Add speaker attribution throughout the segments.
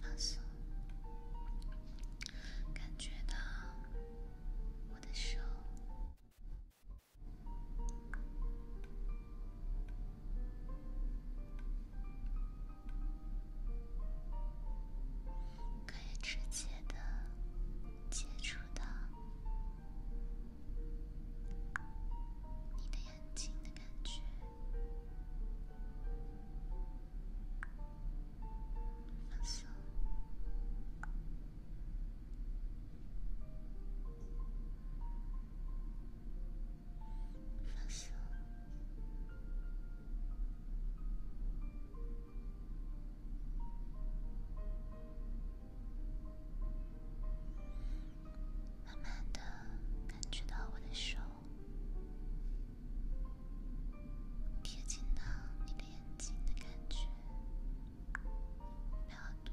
Speaker 1: 放松，感觉到我的手。可以直接的接触到你的眼睛的感觉，放手，放手。慢慢的感觉到我的手贴近到你的眼睛的感觉，不要多。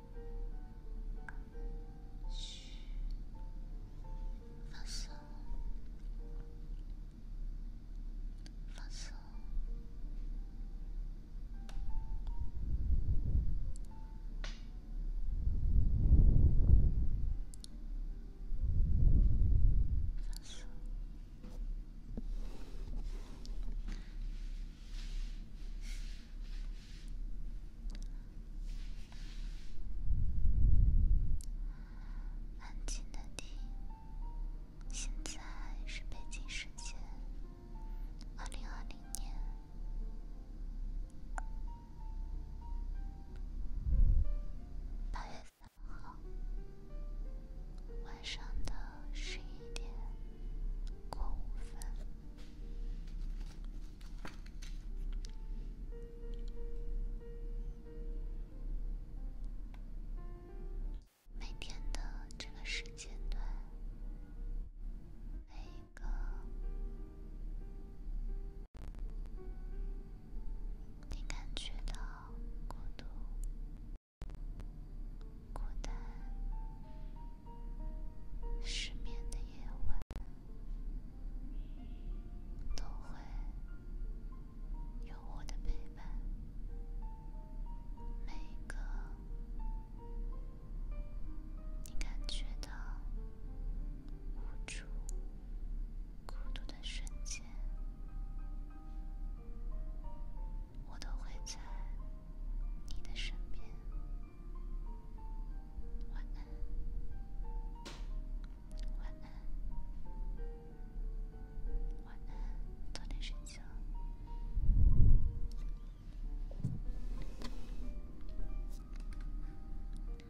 Speaker 1: 嘘，放松，放松，放松。安静的听。现在是北京时间二零二零年八月三号晚上的十一点过五分。每天的这个时间段，每一个，你感觉到孤独、孤单。失眠的夜晚，都会有我的陪伴。每一个你感觉到无助、孤独的瞬间，我都会在你的身边。晚安，晚安，晚安，早点睡觉。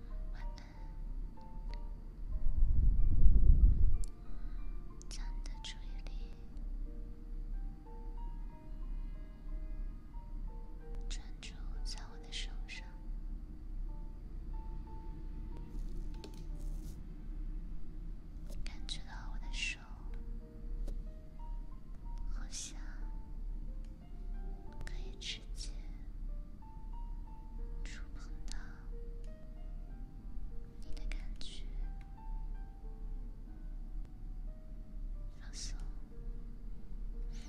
Speaker 1: 晚安，将你的注意力。专注在我的手上，感觉到我的手好像可以直接触碰到你的感觉，放松。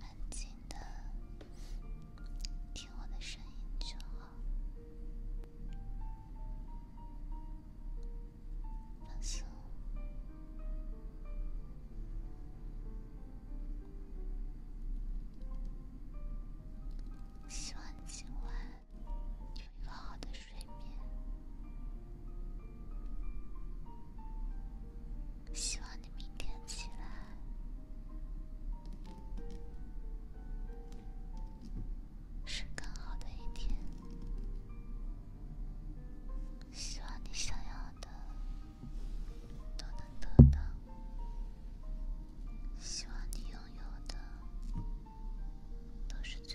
Speaker 1: 安静的，听我的声音就好，希望今晚有一个好的。睡眠，希望你明天起来是更好的一天。希望你想要的都能得到，希望你拥有的都是最。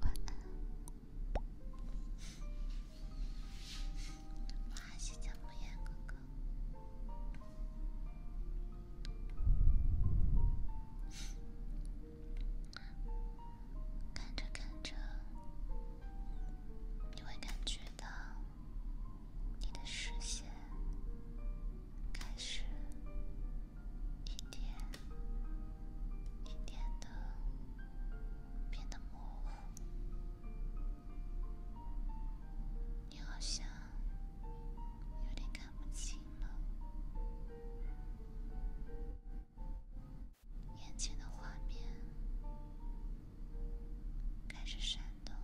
Speaker 1: 晚安，我是姜暮烟哥哥。看着看着，你会感觉到你的视线。开始，一点一点的变得模糊，你好像有点看不清了，眼前的画面开始闪动。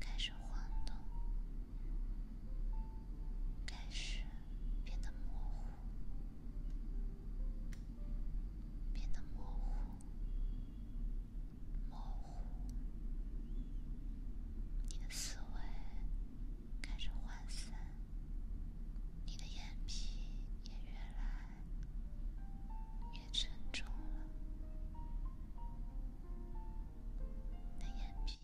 Speaker 1: 开始晃动，开始变得模糊，变得模糊，模糊。你的思维开始涣散，你的眼皮也越来……越沉重了，那眼皮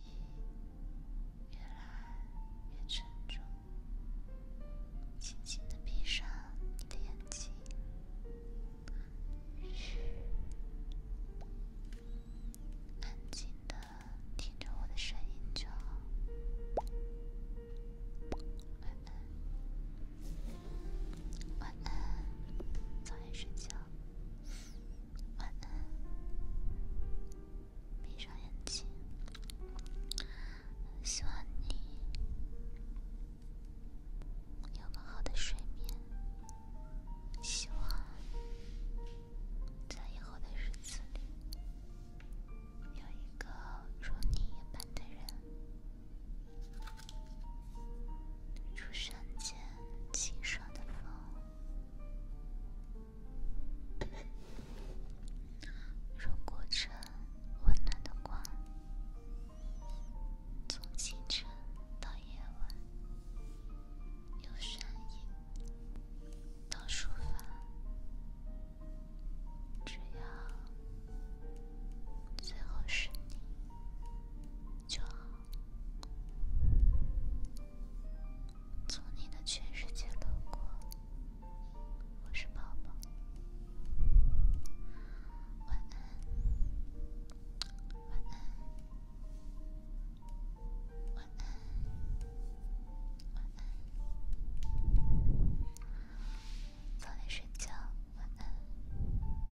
Speaker 1: 越来越沉重。轻轻的闭上你的眼睛，安静的听着我的声音就好。晚安，晚安，早点睡觉。晚安，闭上眼睛，希望你有个好的睡眠。希望在以后的日子里，有一个如你一般的人。如山间清爽的风，如谷中温暖的光，从清晨到夜晚，由善意到出发，只要最后是你。就好，从你的全世界路过，我是宝宝，晚安，晚安，晚安，晚安，早点睡觉，晚安。